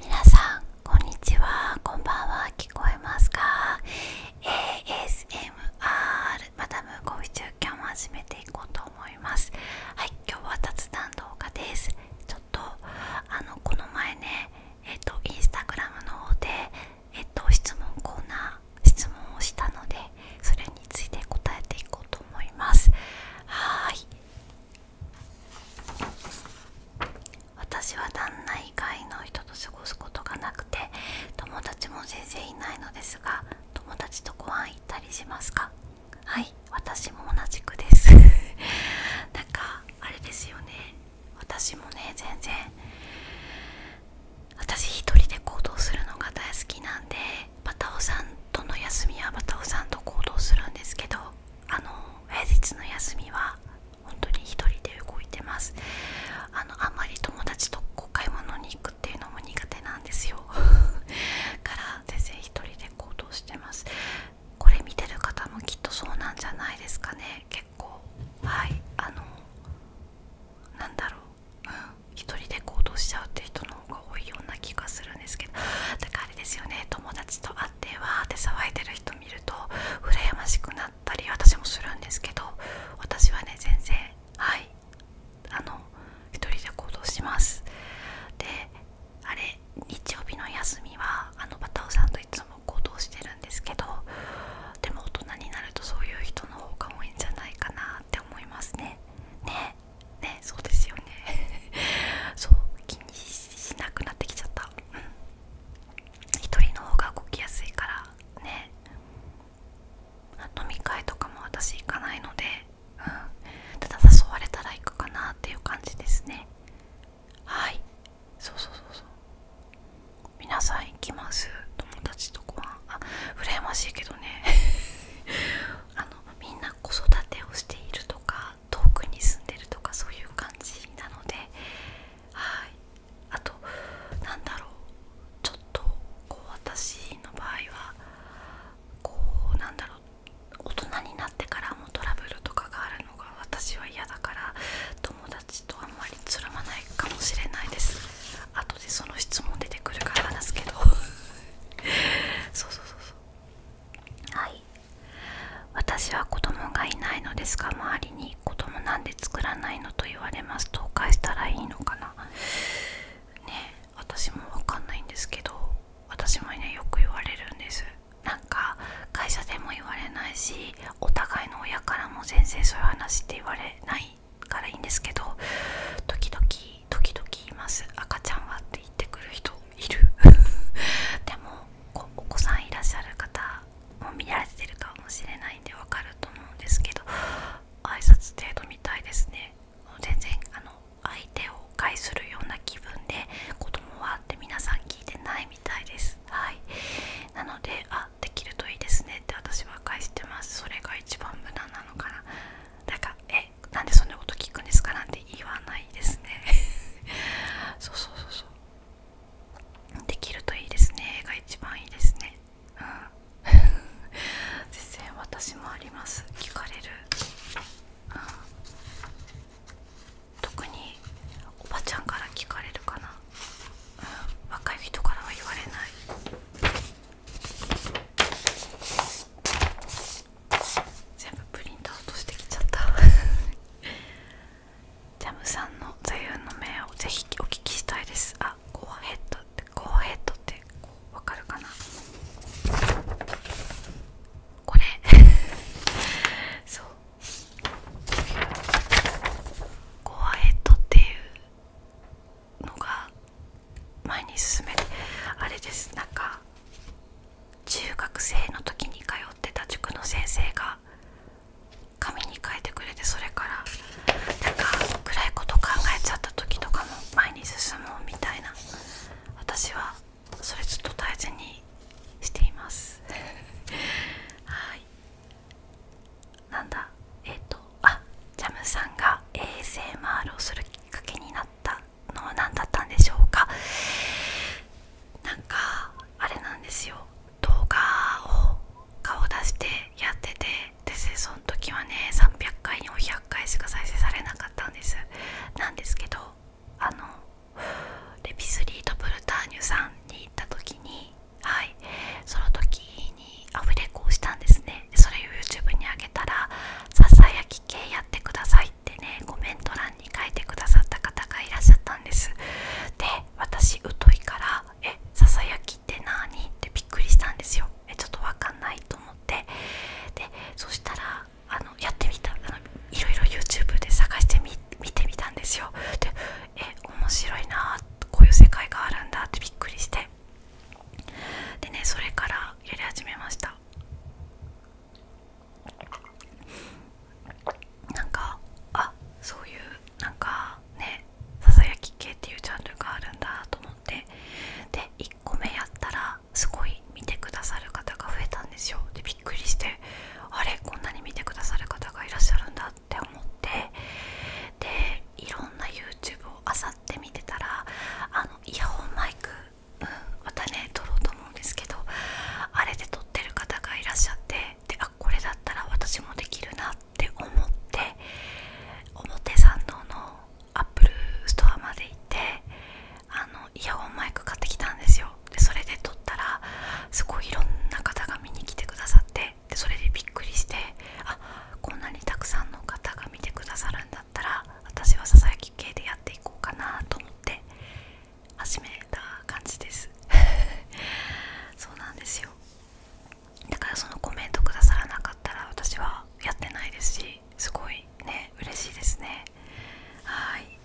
皆さんこんにちはこんばんは聞こえますか ASMR マダムコイチュ今日も始めていこうと思いますはい今日は雑談動画ですちょっとあのこの前ねえっとインスタグラムの方でえっと質問コーナー質問をしたのでそれについて答えていこうと思いますはい私は旦那以外の人と過ごすことがなくて友達も全然いないのですが友達とご飯行ったりしますかはい私も同じくです なんかあれですよね私もね全然私一人で行動するのが大好きなんでバタオさんとの休みはバタオさんと行動するんですけどあの平日の休みは本当に一人で動いてますあのあんまり友達とこう買い物に行くっていうのも苦手なんですよだ から全然一人で行動してますこれ見てる方もきっとそうなんじゃないですかね結構はいあのなんだろう、う一人で行動しちゃうって人の方が多いような気がするんですけどだからあれですよね友達とーってわーって騒いでる人見ると羨ましくなったり私もするんですけど私はね全然はいあの一人で行動しますであれ日曜日の休みはあのバタオさんといつも行動してるんですけどでも大人になるとそういう人の方が多いんじゃないかなって思いますねねねそうですよねそう昨しなくなってきちゃったうん一人の方が動きやすいからね飲み会とかも私行かないので、うん、ただ誘われたら行くかなっていう感じですねはいそうそうそうそう皆さん行きます友達とご飯あ羨ましいけどね あのみんな子育てをしているとか遠くに住んでるとかそういう感じなのであとなんだろうちょっとこう私の場合はこうなんだろう大人になってからもトラブルとかがあるのが私は嫌だから友達とあんまりつるまないかもしれないです後でその質問出てくるから話すけど そうそうそうそうはい私は子供がいないのですが周りに子供なんで作らないのと言われますと返したらいいのかなね私も分かんないんですけど私もねよく言われるんですなんか会社でも言われないしお互いの親からも全然そういう話って言われないからいいんですけど時々時々います赤ちゃんはって言ってくる人いる でもお子さんいらっしゃる方も見られてるかもしれないんでわかると思うんですけど挨拶程度みたいですね全然あの相手を介するような気分で子供はって皆さん聞いてないみたいですはいなのであできるといいですねって私は返してますそれが一番無駄なのかなだからえなんでそんなこと聞くんですかなんて言わないですね そうそうそうそうできるといいですねが一番いいですねうん 全然私もあります聞かれる、うん、特におばちゃんから聞かれるかな、若い人からは言われない全部プリントアウトしてきちゃったジャムさんの座右の銘をぜひお聞きしたいですあコアヘッドってコアヘッドってわかるかなこれ そうコアヘッドっていうのが前に進めてあれですなんか中学生の時に通ってた塾の先生が紙に書いてくれてそれからなんか暗いこと考えちゃった時とかも前に進もうみたいな私はそれちょっと大事にしています はいなんだえっ、とあジャムさんが衛 s 回 r をするきっかけになったのは何だったんでしょうかなんかあれなんですよ動画を顔出してやっててでその時はね300回に400回しか再生されなかったんですなんですけどあのレピスリードブルターニュさんに行った時にはいその時にアフレコをしたんですねそれを YouTube にあげたら「ささやき系やってください」ってねコメント欄に書いてくださった方がいらっしゃったんですで私疎いから「えささやきって何?」ってびっくりしたんですよえちょっと分かんないと思ってでそしたらあのやってみたあのいろいろ YouTube で探してみてみたんですよでえ面白いなこういう世界があるんだってびっくりしてでねそれからやり始めましたなんかあそういうなんかねささやき系っていうジャンルがあるんだと思ってで1個目やったらすごい見てくださる方が増えたんですよでびっくりしてあれこんなに見てくださる方がいらっしゃるんだって思ってでいろんな YouTube をあさって見てたらあのイヤホンマイク、うまたね撮ろうと思うんですけどあれで撮ってる方がいらっしゃってであこれだったら私もできるなって思って表参道のアップルストアまで行ってあのイヤホンマイク買ってきたんですよでそれで撮ったらすごいいろんな方が見に来てくださってでそれでびっくりしてあこんなにたくさんの方が見てくださるんだったら私はささやき系でやっていこうかなと思って始めた感じです そうなんですよだからそのコメントくださらなかったら私はやってないですしすごいね嬉しいですねはい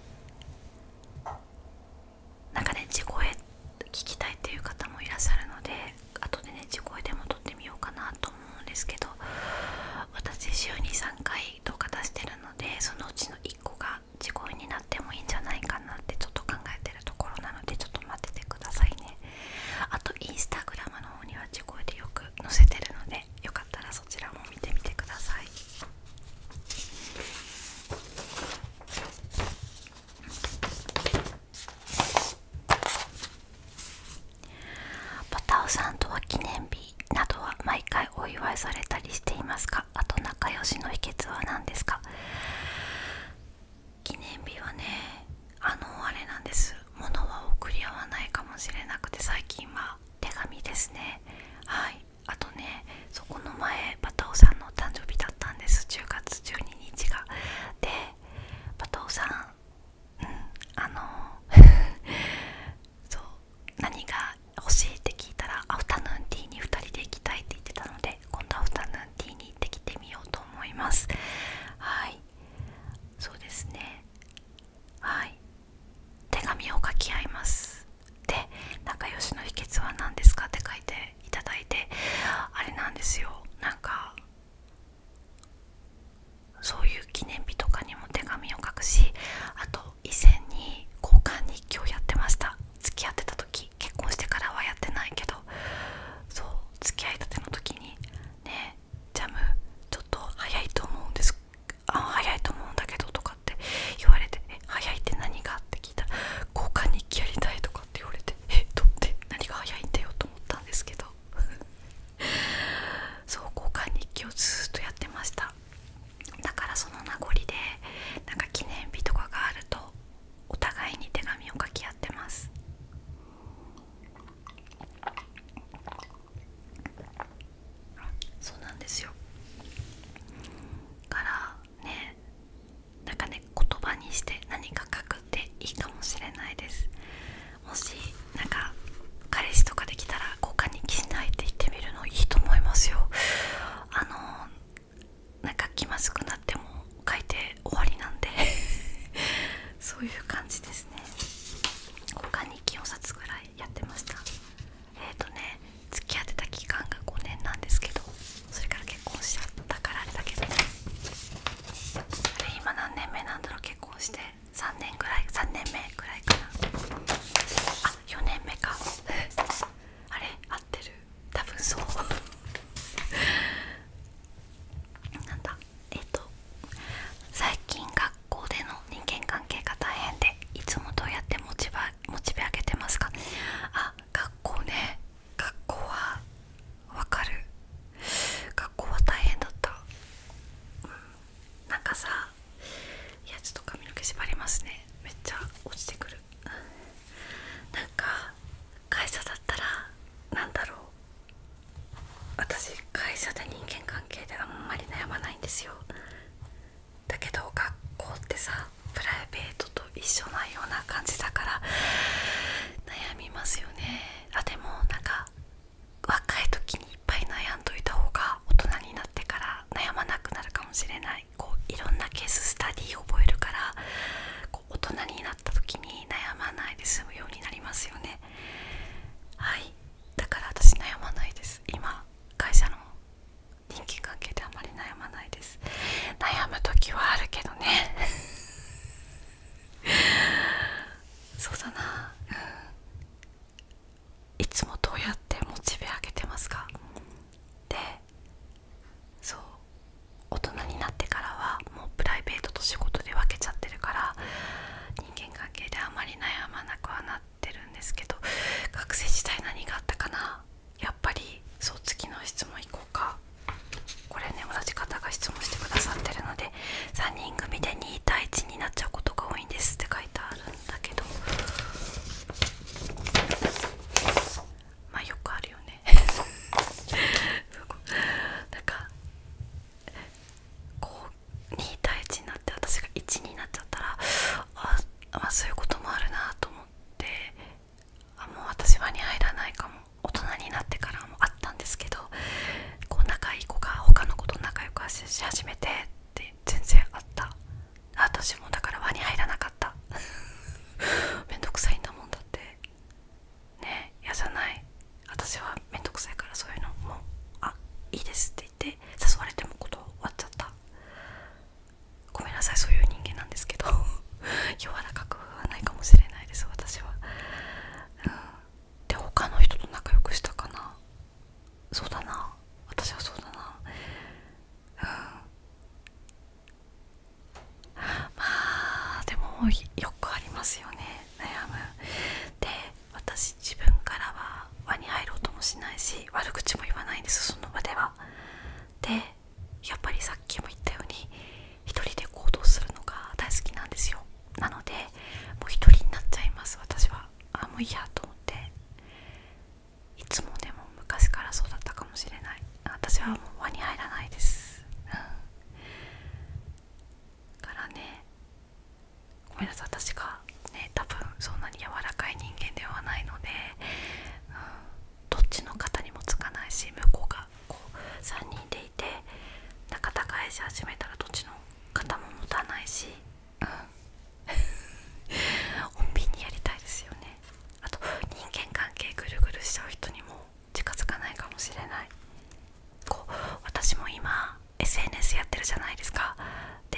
なんかね地声聞きたいっていう方もいらっしゃるので後でね地声でも撮ってみようかなと思うんですけど私週に3回動画出してるのでそのうちの1個が地声になってもいいんじゃないかなってちょっと考えてるところなのでちょっと待っててくださいねあとインスタグラムの方には地声でよく載せてるのでよかったらそちらも見てみてください「ボタオさんとは記念日などは毎回お祝いされたりしていますかあと仲良しの秘訣は何ですか記念日はねあのあれなんです物は送り合わないかもしれなくて最近は手紙ですねはいあとねそこの前バタオさんのお誕生日だったんです10月12日がでバタオさんうんあの そう何が欲しいって聞いたらアフタヌーンティーに2人で行きたいって言ってたので今度アフタヌーンティーに行ってきてみようと思いますはいそうですねはい手紙を書き合いますで仲良しの秘訣は何ですかって書いていただいてあれなんですよなんかそういう記念日とかにも手紙を書くしあと以前に交換日記をやってました付き合ってた時結婚してからはやってないけどそう付き合いたての時にねジャムちょっと早いと思うんですあ早いと思うんだけどとかって言われてえ早いって何がって聞いたら交換日記やりたいとかって言われてえどって何が早いんだよと思ったんですけど そう交換日記をずっとやってましただからその名残でなんか記念日とかがあるとお互いに手紙を書き合ってますそうなんですよからねなんかね言葉にして何か書くっていいかもしれないですもしなんか彼氏とかできたら交換に記しないって言ってみるのいいと思いますよあのなんか気まずくなっても書いて終わりなんで そういう感じですね他に4冊ぐらいやってましたえっ、ー、とね付き合ってた期間が5年なんですけどそれから結婚しちゃったからあれだけどね今何年目なんだろう結婚して3年ぐらい3年目ぐらいかなあ4年目か あれ合ってる多分そうなんだえっと最近学校での人間関係が大変でいつもどうやってモチベモチベ上げてますかあ学校ね学校はわかる学校は大変だった、うなんかさいやちょっと髪の毛縛りますねめっちゃ落ちてくるなんか会社だったら何だろう私会社で人間関係であんまり悩まないんですよだけど学校ってさプライベートと一緒なような感じだから悩みますよねあでもなんか若い時にいっぱい悩んどいた方が大人になってから悩まなくなるかもしれないいこういろんなケーススタディを覚えるからこう大人になった時に悩まないで済むようになりますよねはいだから私悩まないです今会社の人間関係であまり悩まないです悩む時はあるけどね そうだな、うん、いつもどうやってモチベ上げてますかでそう大人になってからはもうプライベートと仕事で分けちゃってるから人間関係であまり悩まなくはなってるんですけど学生時代何があったかなやっぱりそう次の質問いこうかこれね同じ方が質問してくださってるので3人組で2対1になっちゃうことが多いんですって書いてあるんだけどまよくあるよね なんかこう2対1になって私が1になっちゃったらあ、あそういうこともあるなと思ってあもう私輪に入らないかも大人になってからもあったんですけどこう仲いい子が他の子と仲良くし始めてって全然あった私もだから輪に入らかった めんどくさいんだもんだってねえやじゃない私はめんどくさいからそういうのもうあいいですって言って誘われてもこと終わっちゃったごめんなさいそういう人間なんですけど 柔らかくはないかもしれないです私は、うん、で他の人と仲良くしたかなそうだな私はそうだなまあでもよくありますよね悩むで私自分からは輪に入ろうともしないし悪口も言わないんですその場ではでやっぱりさっきも言ったように一人で行動するのが大好きなんですよなのでもう一人になっちゃいます私はあもういいやと思っていつもでも昔からそうだったかもしれない私はもう輪に入らないです、うん、からねごめんなさい私がね多分そんなに柔らかい人間ではないので、うん、どっちの方にもつかないし向こうがこう3人でいて仲たいし始めたらどっちの方も持たないしうん穏便 にやりたいですよねあと人間関係ぐるぐるしちゃう人にも近づかないかもしれないこう私も今 SNS やってるじゃないですかで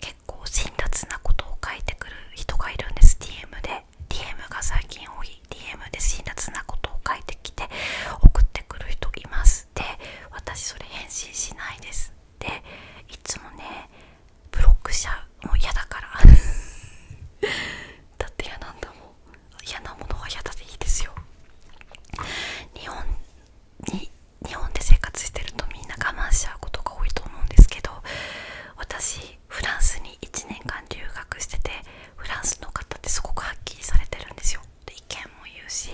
結構辛辣なことを書いてくる人がいるんです DM で DM が最近多い DM で辛辣なことを書いてきて送ってくる人いますで私それ返信しないですでいつもねブロックしちゃうもう嫌だから だって嫌なんだもん嫌なものは嫌だでいいですよ日本に日本で生活してるとみんな我慢しちゃうことが多いと思うんですけど私フランスに1年間留学しててフランスの方ってすごくはっきりされてるんですよで意見も言うし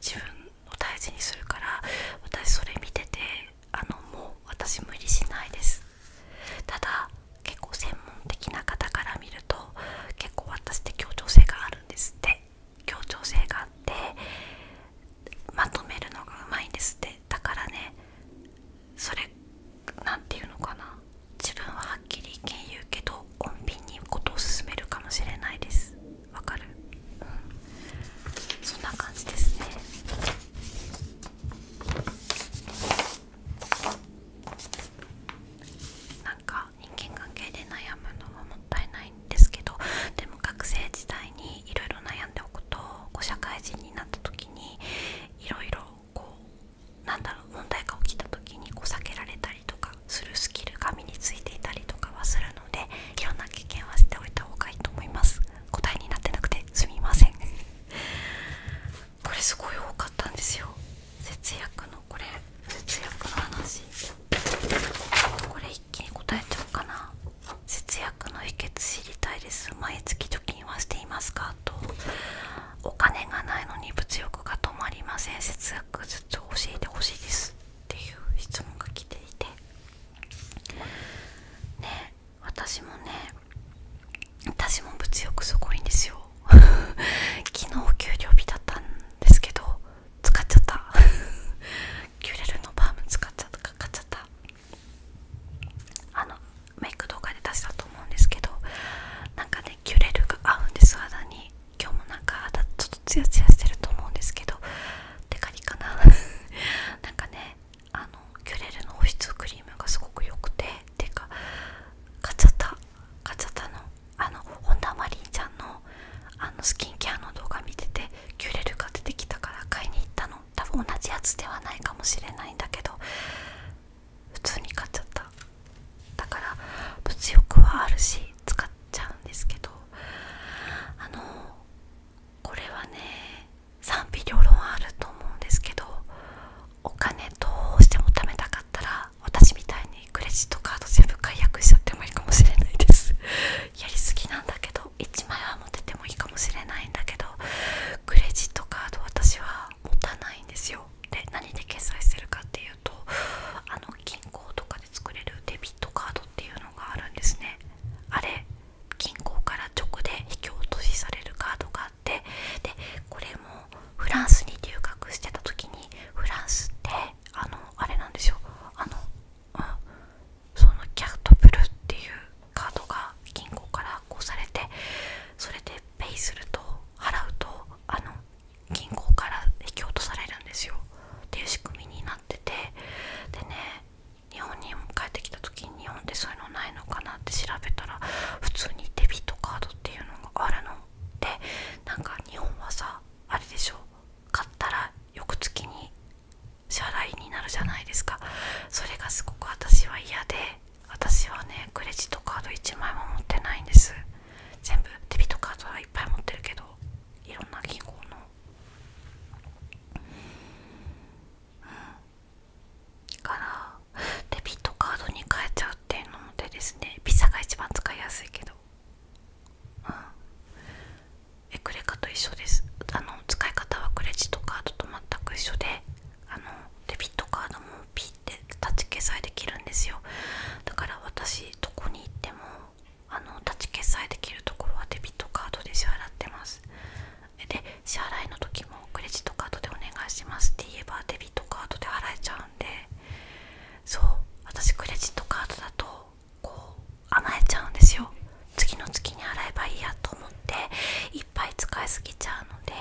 自分を大事にするから私それ見ててあのもう私無理しないですただ結構専門的な方から見ると結構私って協調性があるんですって協調性があってまとめるのがうまいんですってだからねそれなんていうのかな自分ははっきり意見言うけどコンビニにことを勧めるかもしれないですわかる、うん、そんな感じですねなんか人間関係で悩むのはもったいないんですけどでも学生時代にいろいろ悩んでおくとこう社会人になった時にいろいろこうなんだろう問題が起きた時にこう避けられたりとかするスキルが身についていたりとかはするのでいろんな経験はしておいた方がいいと思います答えになってなくてすみませんこれすごい多かったんですよ節約のこれ節約の話これ一気に答えちゃおうかな節約の秘訣知りたいです毎月貯金はしていますかとお金がないのに物欲が止まりません節約ずつ教えてほしいですっていう質問が来ていてね私もね私も物欲すごいんですよ 昨日給料日だったんですけど使っちゃったキュレルのバーム使っちゃったかかっちゃったあのメイク動画で出したと思うんですけどなんかねキュレルが合うんです肌に今日もなんか肌ちょっとツヤツヤしてると思うんですけどテカリかな なんかねあのキュレルの保湿クリームがすごく良くててか買っちゃった。買っちゃったのあの本田マリンちゃんのあのスキンケアの動画見ててキュレルが出てきたから買いに行ったの多分同じやつではないかもしれないんだけど普通に買っちゃっただから物欲はあるし使っちゃうんですけどあのこれはね賛否両論あると思うんですけどお金どうしても貯めたかったら私みたいにクレジットカード全部解約しちゃってもいいかもしれないです やりすぎなんだけど1枚は持っててもいいかもしれないんだけどクレジットカード私は持たないんですよで何で決済してるかっていうとあの銀行とかで作れるデビットカードっていうのがあるんですねあれ銀行から直で引き落としされるカードがあっでこれもフランスに留学してた時にフランスってあのあれなんですよあの、うん、そのキャットブルっていうカードが銀行からこうされてそれでペイすると払うとあの銀行から引き落とされるんですよっていう仕組みになっててでね日本に帰ってきた時日本でそういうのないのかなって調べたら普通にデビットカードっていうのがあるのでなんか日本はさあれでしょ買ったら翌月に支払いになるじゃないですかそれがすごく私は嫌で私はねクレジットカード1枚も持ってないんです全部デビットカードはいっぱい持ってるけどいろんな銀行のうんからデビットカードに変えちゃうっていうのでですねピザが一番使いやすいけどうんエクレカと一緒ですあの使い方はクレジットカードと全く一緒であのデビットカードもピーって立ち決済できるんですよだから私どこに行ってもあのタッ決済できるところはデビットカードで支払ってますで支払いの時もクレジットカードでお願いしますって言えばデビットカードで払えちゃうんでそう私クレジットカードだとこう甘えちゃうんですよ次の月に払えばいいやと思っていっぱい使いすぎちゃうので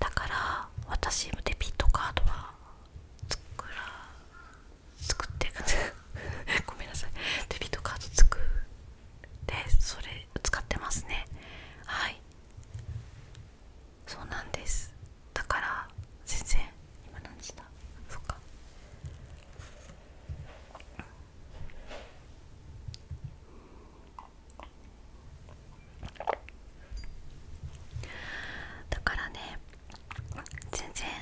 だから私もデビットカードは作ら作って ごめんなさいデビットカード作ってそれ使ってますねはいそうなんですだから全然今何時だそっかだからね全然、うん、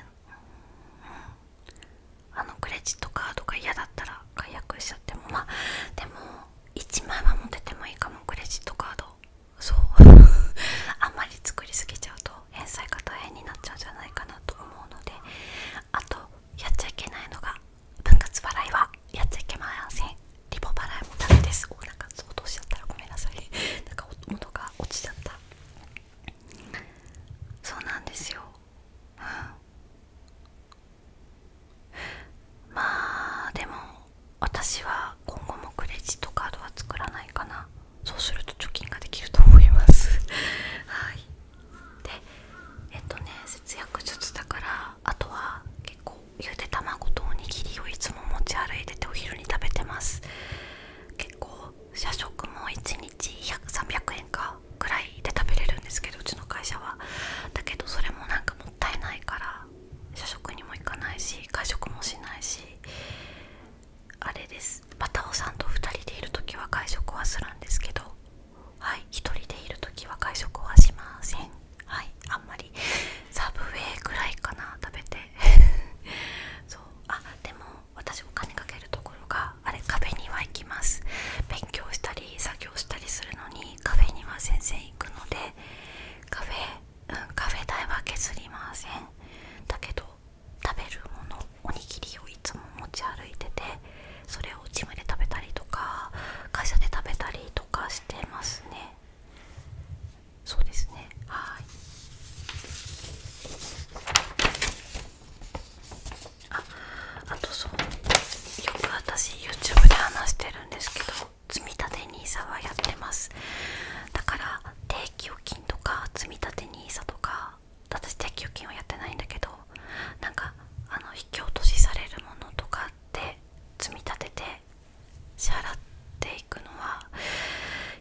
あのクレジットカードが嫌だったら解約しちゃってもまあでも1枚は持っててもいいかもクレジットカードそう あんまり作りすぎちゃうと返済が大変になっちゃうんじゃないかなと思うのであとやっちゃいけないのが分割払いはやっちゃいけませんリボ払いもダメですおなんか相当しちゃったらごめんなさい なんか音が落ちちゃったそうなんですよ、うん、まあでも私は今後もクレジットカードは作らないかなそうすると貯金ができると思います はいでえっとね節約術だからあとは結構ゆで卵とおにぎりをいつも持ち歩いててお昼に食べてます結構社食も1日1 0 0 300円かくらいで食べれるんですけどうちの会社はだけどそれもなんかもったいないから社食にも行かないし会食もしないしあれですバタオさんと2人でいる時は会食はするんですけどはい1人でいる時は会食はしませんはいあんまりサブウェイくらいかな食べて そうあでも私お金かけるところがあれ壁には行きます勉強したり作業したりするのにカフェには先生行くのでカフェ、うん、カフェ代は削りませんだけど食べるものおにぎりをいつも持ち歩いててそれをジムで食べたりとか会社で食べたりとかしてますねそうですねはいああとそうよく私 YouTube で話してるんですけど積立 NISA はやってますだから定期預金とか積立 NISA とか私定期預金はやってないんだけどなんかあの引き落としされるものとかって積み立てて支払っていくのは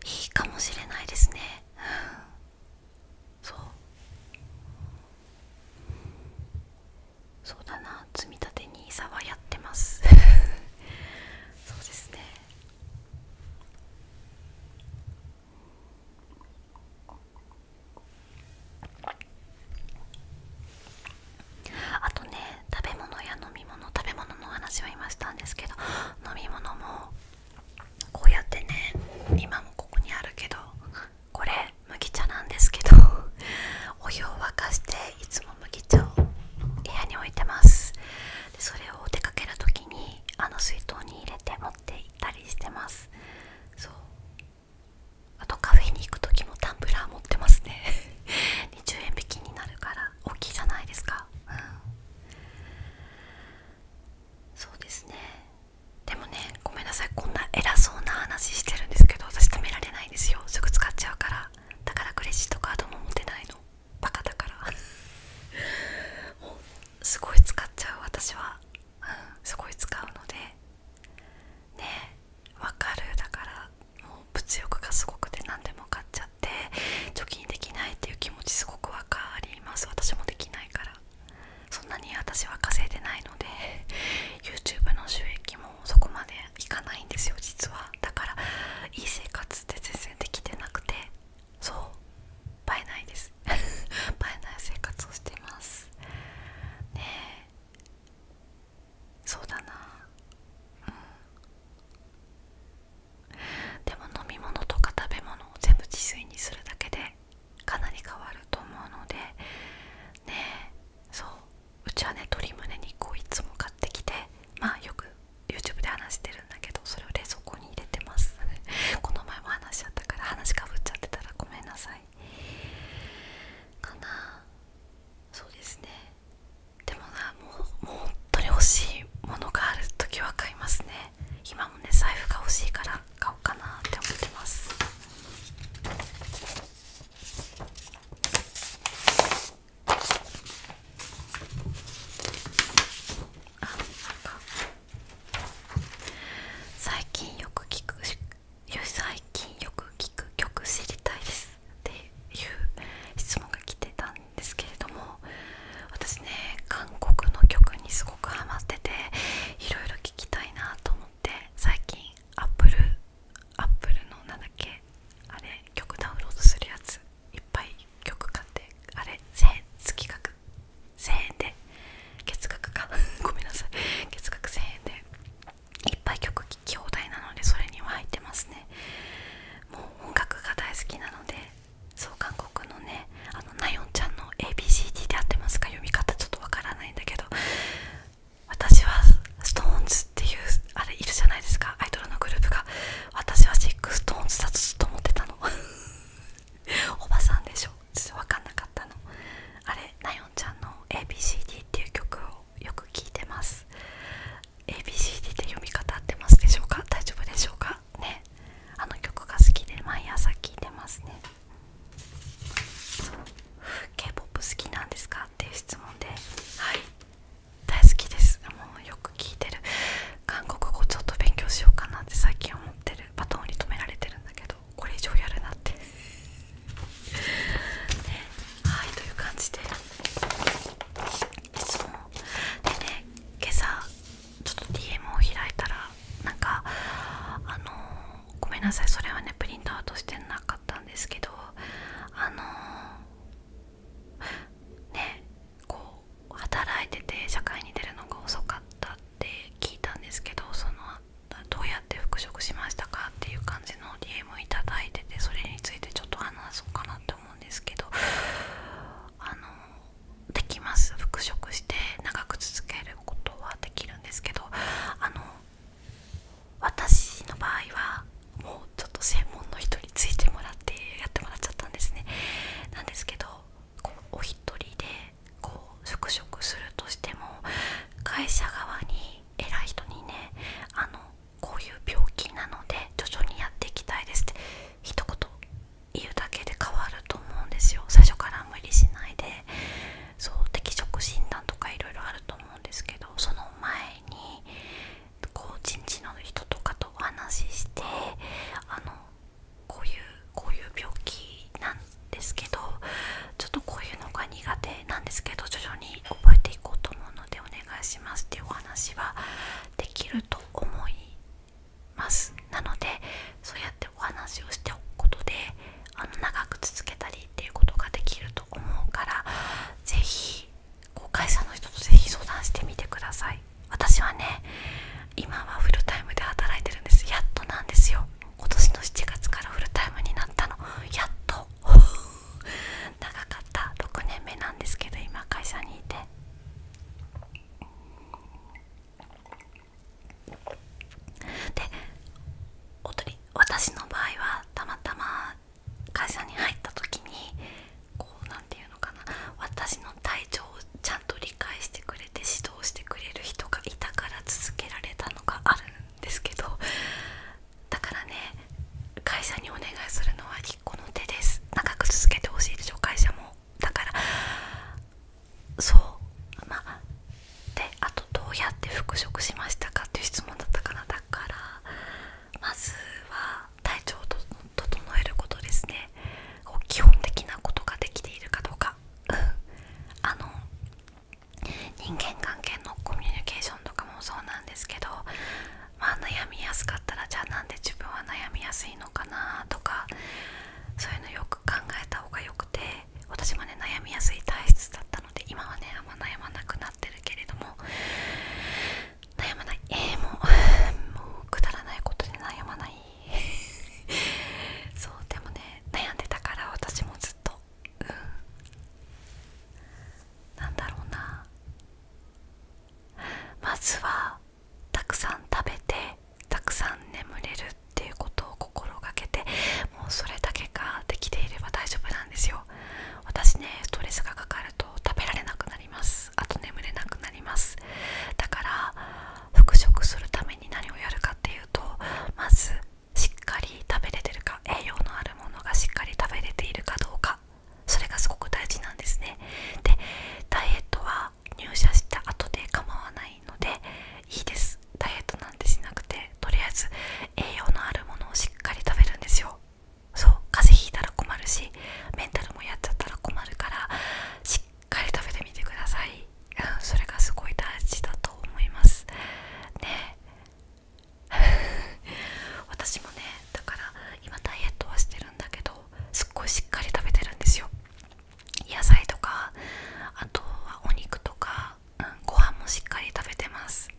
いいかもしれないですね、うん、そうそうだな積み立て n i s はやってます そうですねあとね食べ物や飲み物食べ物の話は今したんですけど飲み物もこうやってね今もここにあるけどこれ麦茶なんですけどお湯を沸かしていつも部屋に置いてますでそれを出かける時にあの水筒に入れて持って行ったりしてますあとカフェに行く時もタンブラー持ってますね20 円引きになるから大きじゃないですかそうですねでもねごめんなさいこんな偉そうな話してるんですけど私止められないですよすぐ使っちゃうからだからクレジットカードも持てないのバカだからもう すごい使っちゃう私は、うん、すごい使うのでねえわかるだからもう物欲がすごくて何でも買っちゃって貯金できないっていう気持ちすごくわかります私もできないからそんなに私は稼いでないので YouTube の収益もそこまでいかないんですよ実はだからいい生活って全然できてなくてそう映えないです映え ない生活をしてますねえそうだなうんでも飲み物とか食べ物を全部自炊にするだけでかなり変わると思うのでねえそううちはね鶏胸肉をいつも買ってきてまあよく YouTube で話してるんだけどそれを冷蔵庫に入れてます この前も話しちゃったから話かぶっちゃってたらごめんなさいかなそうですねでもなもうもう本当に欲しいものがある時は買いますね今もね財布が欲しいから買おうかなって思ってますあなんか最近よく聞く最近よく聞く曲知りたいですっていう質問が来てたんですけれども私ね韓国の曲にすごくハマってていろいろ聴きたいなと思って最近 Apple アップルのなんだっけあれ曲ダウンロードするやついっぱい曲買ってあれ1000円月額1000円で月額か ごめんなさい月額1000円でいっぱい曲聴き放題なのでそれには入ってますねもう音楽が大好きなのでそう韓国のねあのナヨンちゃんの ABCD で合ってますか読み方ちょっとわからないんだけど私は SixTONES っていうあれいるじゃないですかアイドルのグループが私は SixTONES だとずっと思ってたの おばさんでしょちょっと分かんなかったのあれナヨンちゃんの ABCD っていう曲をよく聴いてます ABCD って読み方合ってますでしょうか大丈夫でしょうかねあの曲が好きで毎朝聴いてますねそう、k p o p 好きなんですかっていう質問ではい大好きですもうよく聞いてる韓国語ちょっと勉強しようかなって最近思ってるバトンに止められてるんだけどこれ以上やるなってはいという感じでいつもでね今朝ちょっと DM を開いたらなんかあのごめんなさいそれはねプリントアウトしてなかったんですけどあのねこう働いてて社会に出るのが遅かったって聞いたんですけどそのどうやって復職しましたかっていう感じの DM を頂いててそれについてちょっと話そうかなって思うんですけどあのできます復職して長く続けることはできるんですけどあの私の場合はもうちょっと専門の人についてもらってやってもらっちゃったんですねなんですけどこうお一人でこう復職するとしても会社側に偉い人にねあのこういう病気なので徐々にやっていきたいですって一言言うだけで変わると思うんですよ最初から無理しないでそう適職診断とかいろいろあると思うんですけどその前にこう人事の人とかとお話ししてあのこういうこういう病気なんですけどちょっとこういうのが苦手なんですけど徐々に覚えていこうと思うのでお願いしますっていうお話はできると思いますなのでそうやってお話をしておくことであの長く続けたりっていうことができると思うから是非会社の人とぜひ相談してみてください私はね今はフルタイムで働いてるんですやっとなんですよ今年の7月からフルタイムになったのやっと 長かった6年目なんですけど今会社にいてでおとり、私の場合はたまたま会社に入った時にこう何て言うのかな私の体調をちゃんと理解してくれて指導してくれる人がいたから続けられたのがあるんですけどだからね会社にお願いするのは一個の手です長く続けてほしいでしょ会社もだからそうまあであとどうやって復職しましたかっていう質問だったかなだからまずは体調を整えることですね基本的なことができているかどうか、うん、あの人間関係のコミュニケーションとかもそうなんですけど、まあ、悩みやすかったらじゃあなんで自分は悩みやすいのかなとかそういうのよく考えた方がよくて私もね悩みやすい体質だったので今はねあんま悩まなくなってるけれども悩まないえー、もう もうくだらないことで悩まない そうでもね悩んでたから私もずっとうんなんだろうなまずはたくさん食べてたくさん眠れるっていうことを心がけてもうそれだけができていれば大丈夫なんですよ私ねストレスがかかると食べられなくなりますあと眠れなくなりますだから復職するために何をやるかっていうとまずしっかり食べれてるか栄養のあるものがしっかり食べれているかどうかそれがすごく大事なんですねでダイエットは入社した後で構わないのでいいですダイエットなんてしなくてとりあえず栄養のあるものをしっかり食べるんですよそう風邪ひいたら困るしメンタルもやっちゃったら困るからしっかり食べてみてください、うん、それがすごい大事だと思いますね 私もねだから今ダイエットはしてるんだけどすっごいしっかり食べてるんですよ野菜とかあとはお肉とか、うん、ご飯もしっかり食べてます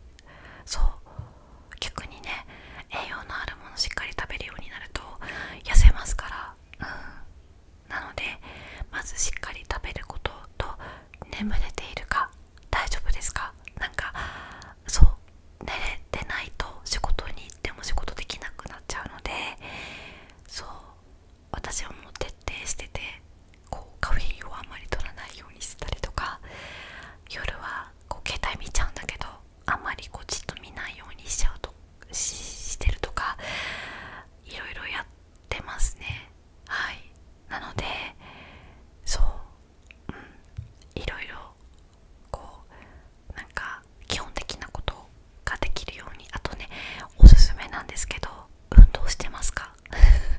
そう逆にね栄養のあるものしっかり食べるようになると痩せますから、うん、なのでまずしっかり食べることと眠れているか大丈夫ですかなんかそう寝れてないと仕事に行っても仕事できなくなっちゃうのでそう私はもう徹底しててこうカフェインをあんまり取らないようにしたりとか夜はこう携帯見ちゃうんだけどあまりこうじっと見ないようにしちゃうとしてるとかいろいろやってますねはいなのでそううんいろいろこうなんか基本的なことができるようにあとねおすすめなんですけど運動してますか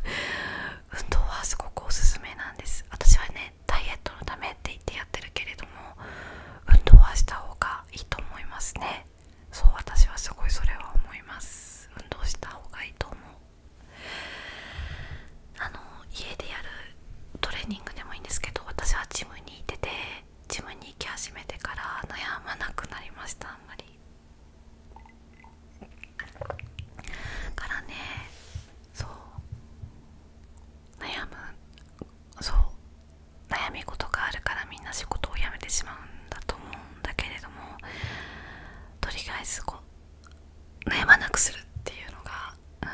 運動はすごくおすすめなんです私はねダイエットのためって言ってやってるけれども運動はした方がいいと思いますねそう私はすごいそれは思います運動した方がいいと思うあの家でやるトレーニングでもいいんですけど私はジムに行っててジムに行き始めてから悩まなくなりましたあんまりからねそう悩むそう悩み事があるからみんな仕事を辞めてしまうんだと思うんだけれどもとりあえずこう悩まなくするっていうのが、う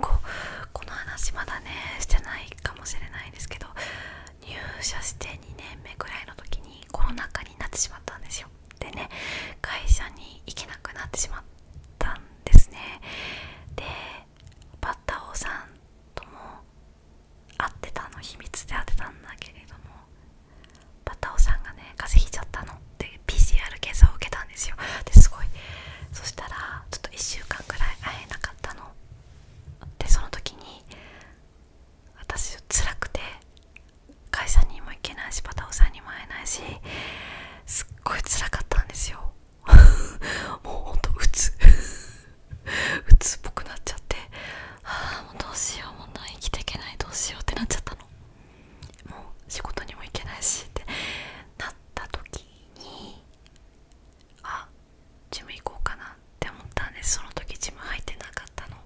ん、こうこの話まだねしてないかもしれないですけど入社して2年目ぐらいの時にコロナ禍になってしまったんですよでね会社に行けなくなってしまったんですねでバッタ王さんとも会ってたの秘密で会ってたんだけれどもバッタ王さんがね風邪ひいちゃったのって PCR 検査を受けたんですよですごいそしたらちょっと1週間くらい会えなかったのでその時に私辛くて会社にも行けないしバタオさんにも会えないしすっごい辛かったんですよ もうほんとうつうつっぽくなっちゃってああもうどうしようもう生きていけないどうしようってなっちゃったのもう仕事にも行けないしってなった時にあジム行こうかなって思ったんですその時ジム入ってなかったの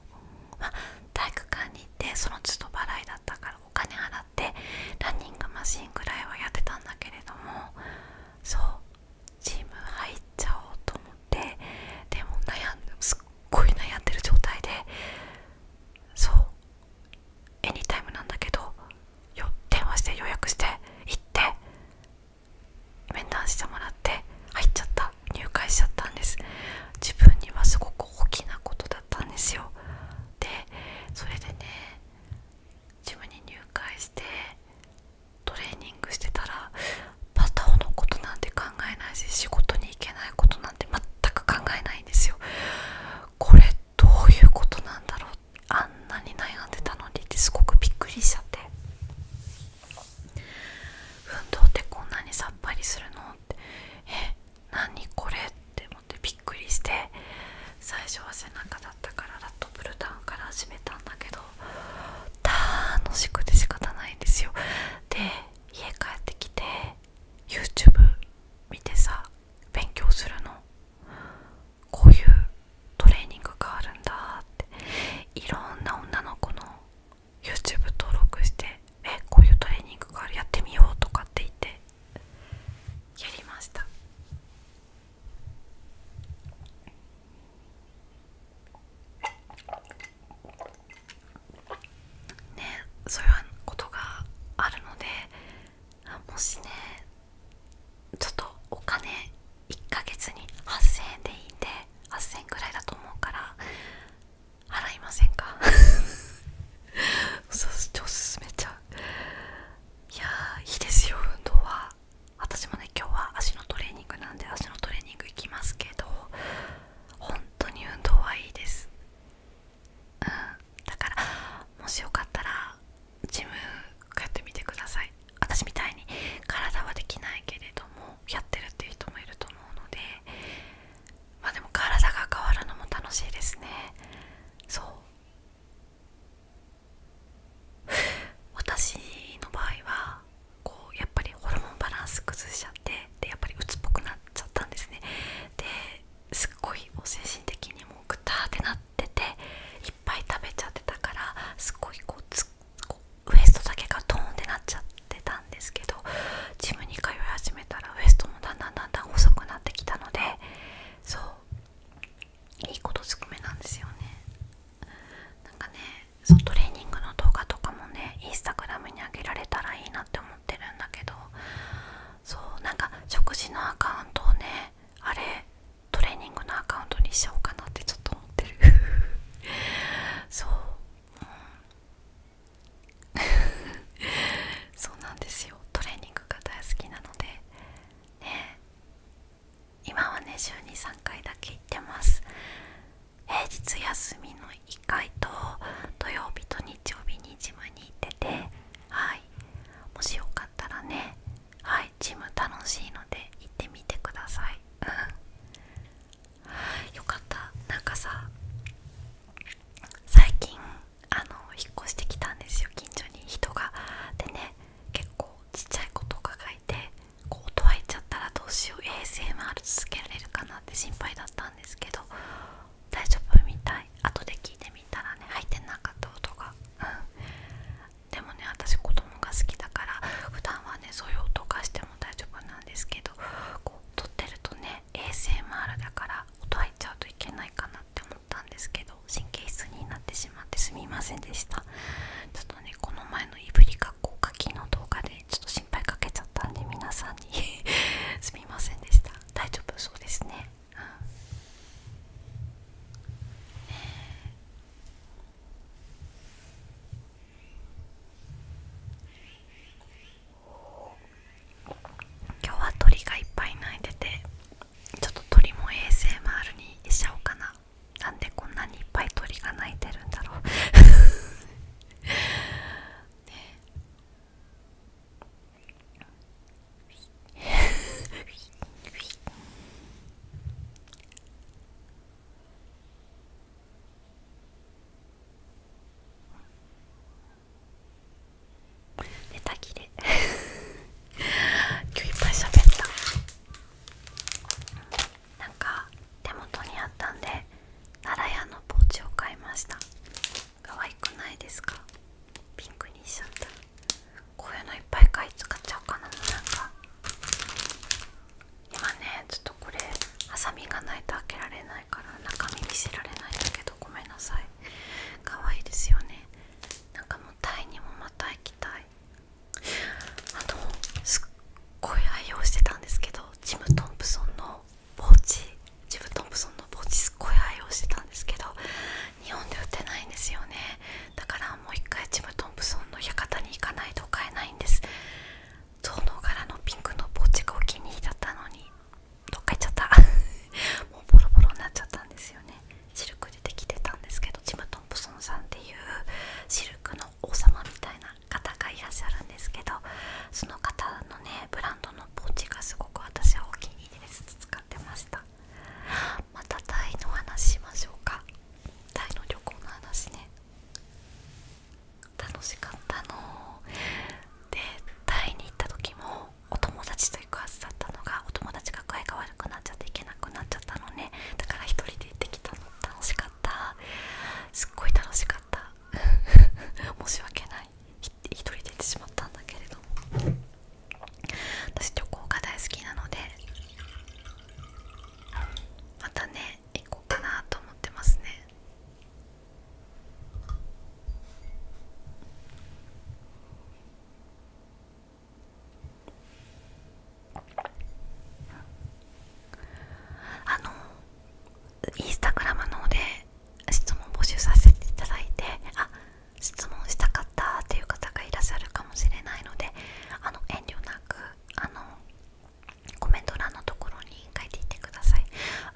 まあ体育館に行ってその都度払いだったからお金払って。あってランニングマシンぐらいはやってたんだけれどもそうチーム入っちゃおうと思ってでも悩んですっごい悩んでる状態でそうエニタイムなんだけど電話して予約して行って面談してもらって入っちゃった入会しちゃったんです自分にはすごく大きなことだったんですよでそれでね自分に入会してトレーニングしてたらバターのことなんて考えないし仕事に行けないことなんて全く考えないんですよこれどういうことなんだろうあんなに悩んでたのにってすごくびっくりしちゃって運動ってこんなにさっぱりするのってえ何これって思ってびっくりして最初は背中だったからラットプルダウンから始めたんだけど楽しくて仕方ないんですよで家帰ってきて YouTube 見てさ勉強するのこういうトレーニングがあるんだっていろんな女の子の YouTube 登録してえこういうトレーニングがあるやってみようとかって言ってやりましたねそういうことがあるのでもしねちょっとお金1ヶ月に8000円でいいんで8000円ぐらいだと思うから払いませんか そうちょっと進めちゃういやーいいですよ運動は私もね今日は足のトレーニングなんで足のトレーニング行きますけど本当に運動はいいですうんだからもしよかったらジム通ってみてください私みたいに体はできないけれどもやってるっていう人もいると思うのでまでも体が変わるのも楽しいですねそう 私の場合はこうやっぱりホルモンバランス崩しちゃってでやっぱり鬱っぽくなっちゃったんですねですっごいも精神的にもうグターってなってていっぱい食べちゃってたからすっごいこうウエストだけがトーンってなっちゃってたんですけどジムに通い始めたらウエストもだんだんだんだん細くなってきたのでそういいことずくめなんですよねなんかねそのトレーニングの動画とかもねインスタグラムに上げられたらいいなって思ってるんだけどそうなんか食事のアカウントをねあれトレーニングのアカウントにしようかなってちょっと思ってる そう、うん、そうなんですよトレーニングが大好きなのでね今はね週に3回だけ行ってます平日休みの1回と土曜日と日曜日にジムに行っててはいもしよかったらねはいジム楽しいので行ってみてくださいうんよかったなんかさ最近あの引っ越してきたんですよ近所に人がでね結構ちっちゃい子とかがいてこう音入っちゃったらどうしよう ASMR 続けられるかなって心配だったんですけど大丈夫みたい後で聞いてみたらね入ってなかった音がうんでもね私子供が好きだから普段はねそういう音がしても大丈夫なんですけどこう撮ってるとね ASMR だから音入っちゃうといけないかなって思ったんですけど神経質になってしまってすみませんでしたちょっとねこの前のいぶりかこかきの動画でちょっと心配かけちゃったんで皆さんに すみませんでした大丈夫そうですね今日は鳥がいっぱい鳴いててちょっと鳥も a s m るにしちゃおうかななんでこんなにいっぱい鳥が鳴いてるんだろう ねネタ切れ今日いっぱい喋ったなんか手元にあったんで奈良屋のポーチを買いました可愛くないですかピンクにしちゃったこういうのいっぱい買い使っちゃおうかなもうなんか今ねちょっとこれハサミがないと開けられないから中身見せられないんだけどごめんなさい可愛いですよねなんかもうタイにもまた行きたいあのすっごい愛用してたんですけどジム・トンプソンのポーチジム・トンプソンのポーチすっごい愛用してたんですけど日本で売ってないんですよねだからもう一回ジム・トンプソンの館に行かないと買えないんです象の柄のピンクのポーチがお気に入りだったのにどっか行っちゃった もうボロボロになっちゃったんですよねシルクでできてたんですけどジム・トンプソンさんっていうシルクの王様みたいな方がいらっしゃるんですけどその方のねブランドのポーチがすごく私はお気に入りです使ってましたまたタイの話しましょうかタイの旅行の話ね楽しかったのでタイに行った時もお友達と行くはずだったのがお友達が具合が悪くなっちゃって行けなくなっちゃったのねだから一人で行ってきたの楽しかったすっごい楽しかった 申し訳ない一人で行ってしまったんだけれども私旅行が大好きなのでまたね行こうかなと思ってますねあのインスタグラムの方で質問募集させていただいてあ質問したかったっていう方がいらっしゃるかもしれないのであの遠慮なくあのコメント欄のところに書いていってください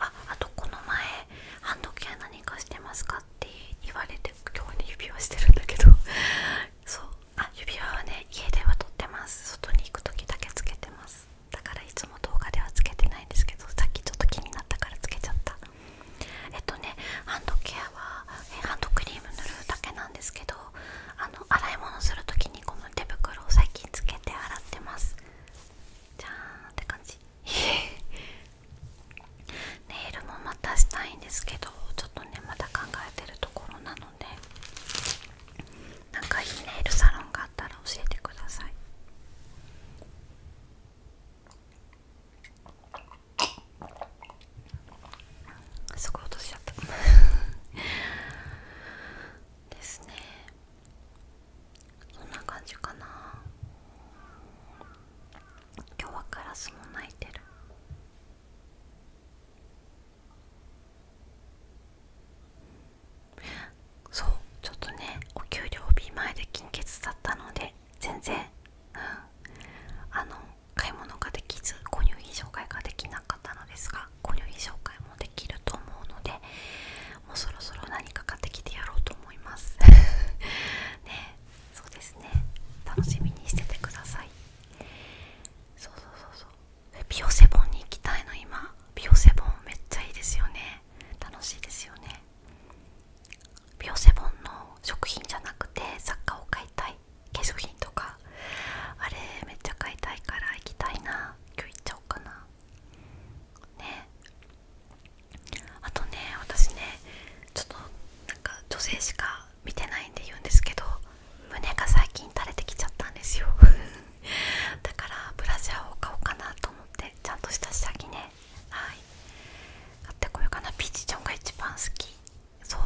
ああとこの前ハンドケア何かしてますかって言われて今日ね指輪してるんだけど そうあ指輪はね家では取ってます外に行く時だけつけてますだからいつも動画ではつけてないんですけどさっきちょっと気になったからつけちゃったえっとねハンドケアはえハンドクリーム塗るだけなんですけどあの洗い物する時にこの手袋を最近つけて洗ってますじゃーんって感じネイルもまたしたいんですけどちょっとねまた考えてるところなのでなんかいいネイルサロンがあったら教えてくださいすごい落としちゃった ですねそんな感じかな今日はカラスも鳴いてるそうちょっとねお給料日前で金欠だったので全然、うん、あの買い物ができず購入品紹介ができなかったのですが購入品紹介もできると思うのでもうそろそろ何か買ってきてやろうと思います ねそうですね楽しみにしててくださいそうそうそうそうビオセボンに行きたいの今ビオセボンめっちゃいいですよね楽しいですよねビオセボンの食品じゃなくてサッカーを買いたい化粧品とかあれめっちゃ買いたいから行きたいな今日行っちゃおうかなねあとね私ねちょっとなんか女性しかは見てないんで言うんですけど胸が最近垂れてきちゃったんですよ だからブラジャーを買おうかなと思ってちゃんとした下着ねはい買ってこようかなピーチジョンが一番好きそう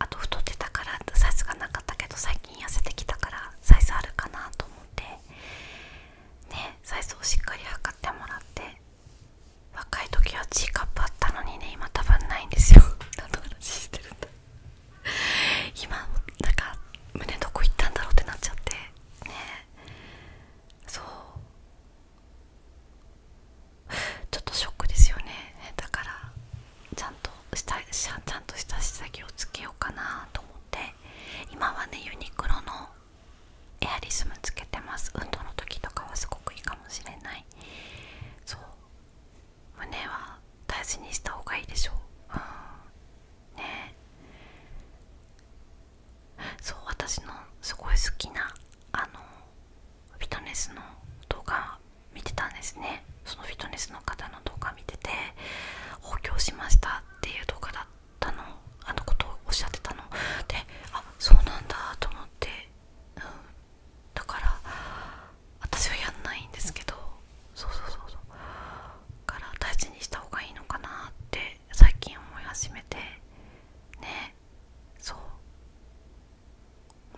あと太ってたからサイズがなかったけど最近痩せてきたからサイズあるかなと思ってねサイズをしっかり測ってもらって若い時は G カップあったのにね今多分ないんですよ何の話してるんだ今なんか胸どこ行ったんだろうってなっちゃってねそうちょっとショックですよねだからちゃんとしたちゃんとした下着をつけようかなと思って今はねユニクロのエアリズムつけてます運動の時とかはすごくいいかもしれないそう胸は大事にした方がいいでしょう、ん、ねそう私のすごい好きなあのフィットネスの動画見てたんですねそのフィットネスの方の動画見てて補強しましたっていう動画だったのあのことをおっしゃってたのであそうなんだと思って、うん、だから私はやんないんですけどそうそうそうそうだから大事にした方がいいのかなって最近思い始めてねそう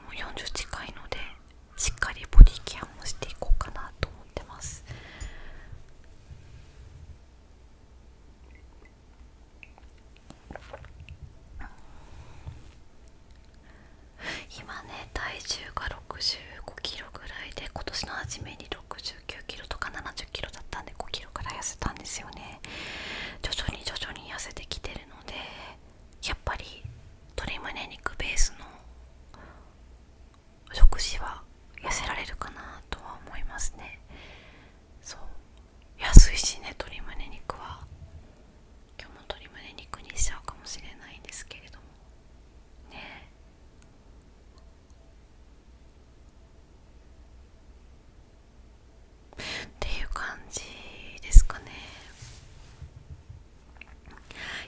もう40近いのでしっかりボディケアもしていこうかなと思ってます今ね体重が65キロぐらいで今年の初めに69キロとか70キロだったんで5キロから痩せたんですよね徐々に徐々に痩せてきてるのでやっぱり鶏むね肉ベースの食事は痩せられるかなとは思いますねそう安いしね鶏胸肉は今日も鶏胸肉にしちゃうかもしれないんですけれどもねっていう感じですかね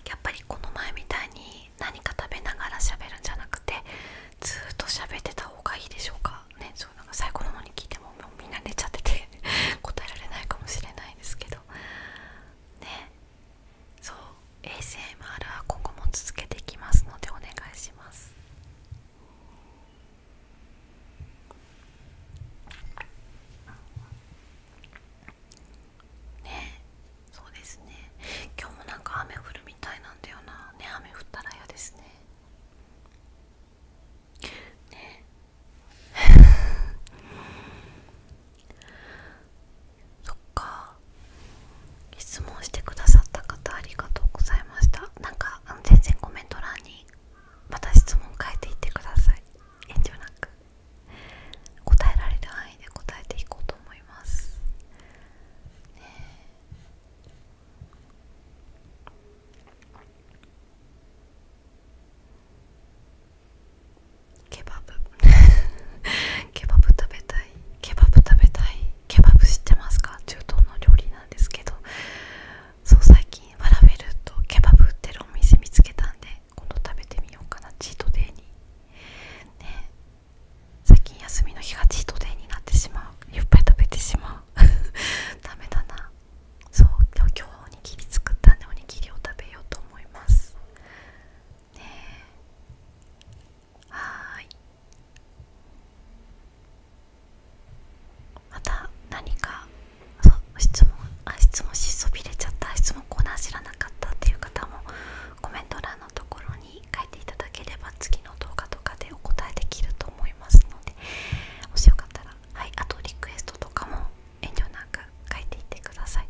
やっぱりこの前みたいに何か食べながら喋るんじゃなくてずっと喋ってた方がいいでしょうかねそう最後の方に聞いてももうみんな寝ちゃってて 答えられないかもしれないですけどねそう ASMR は今後も続けていきますのでお願いしますねそうですね今日もなんか雨降るみたいなんだよなね雨降ったら嫌ですねね そっか質問してくださった方ありがとうございましたなんかあの全然コメント欄にまた質問書いていってください遠慮なく答えられる範囲で答えていこうと思いますねえケバブ ケバブ食べたいケバブ食べたいケバブ知ってますか中東の料理なんですけどそう最近ファラベルとケバブ売ってるお店見つけたんで今度食べてみようかなチートデイにね最近休みの日がチートデーになってしまういっぱい食べてしまう ダメだなそう今日おにぎり作ったんでおにぎりを食べようと思いますねはいまた何か質問あ質問しそびれちゃった質問コーナー知らなかったっていう方もコメント欄のところに書いていただければ次の動画とかでお答えできると思いますのでもしよかったらはいあとリクエストとかも遠慮なく書いていってください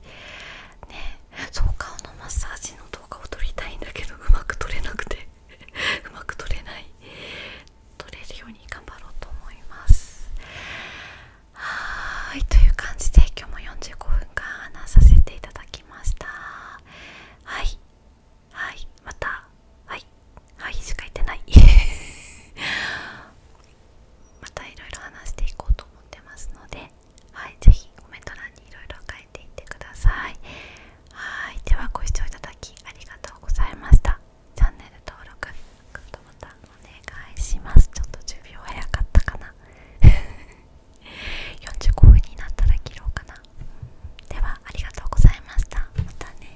ねそう顔のマッサージの動画を撮りたいんだけどうまく撮れなくて うまく撮れない撮れるように頑張ろうと思いますはいという感じで今日も45分間話させていただきましたはいはいまたはいはいしか言ってないまたいろいろ話していこうと思ってますので、はい、ぜひコメント欄にいろいろ書いていってください。はい、ではご視聴いただきありがとうございました。チャンネル登録、グッドボタンお願いします。ちょっと10秒早かったかな。45 分になったら切ろうかな。ではありがとうございました。またね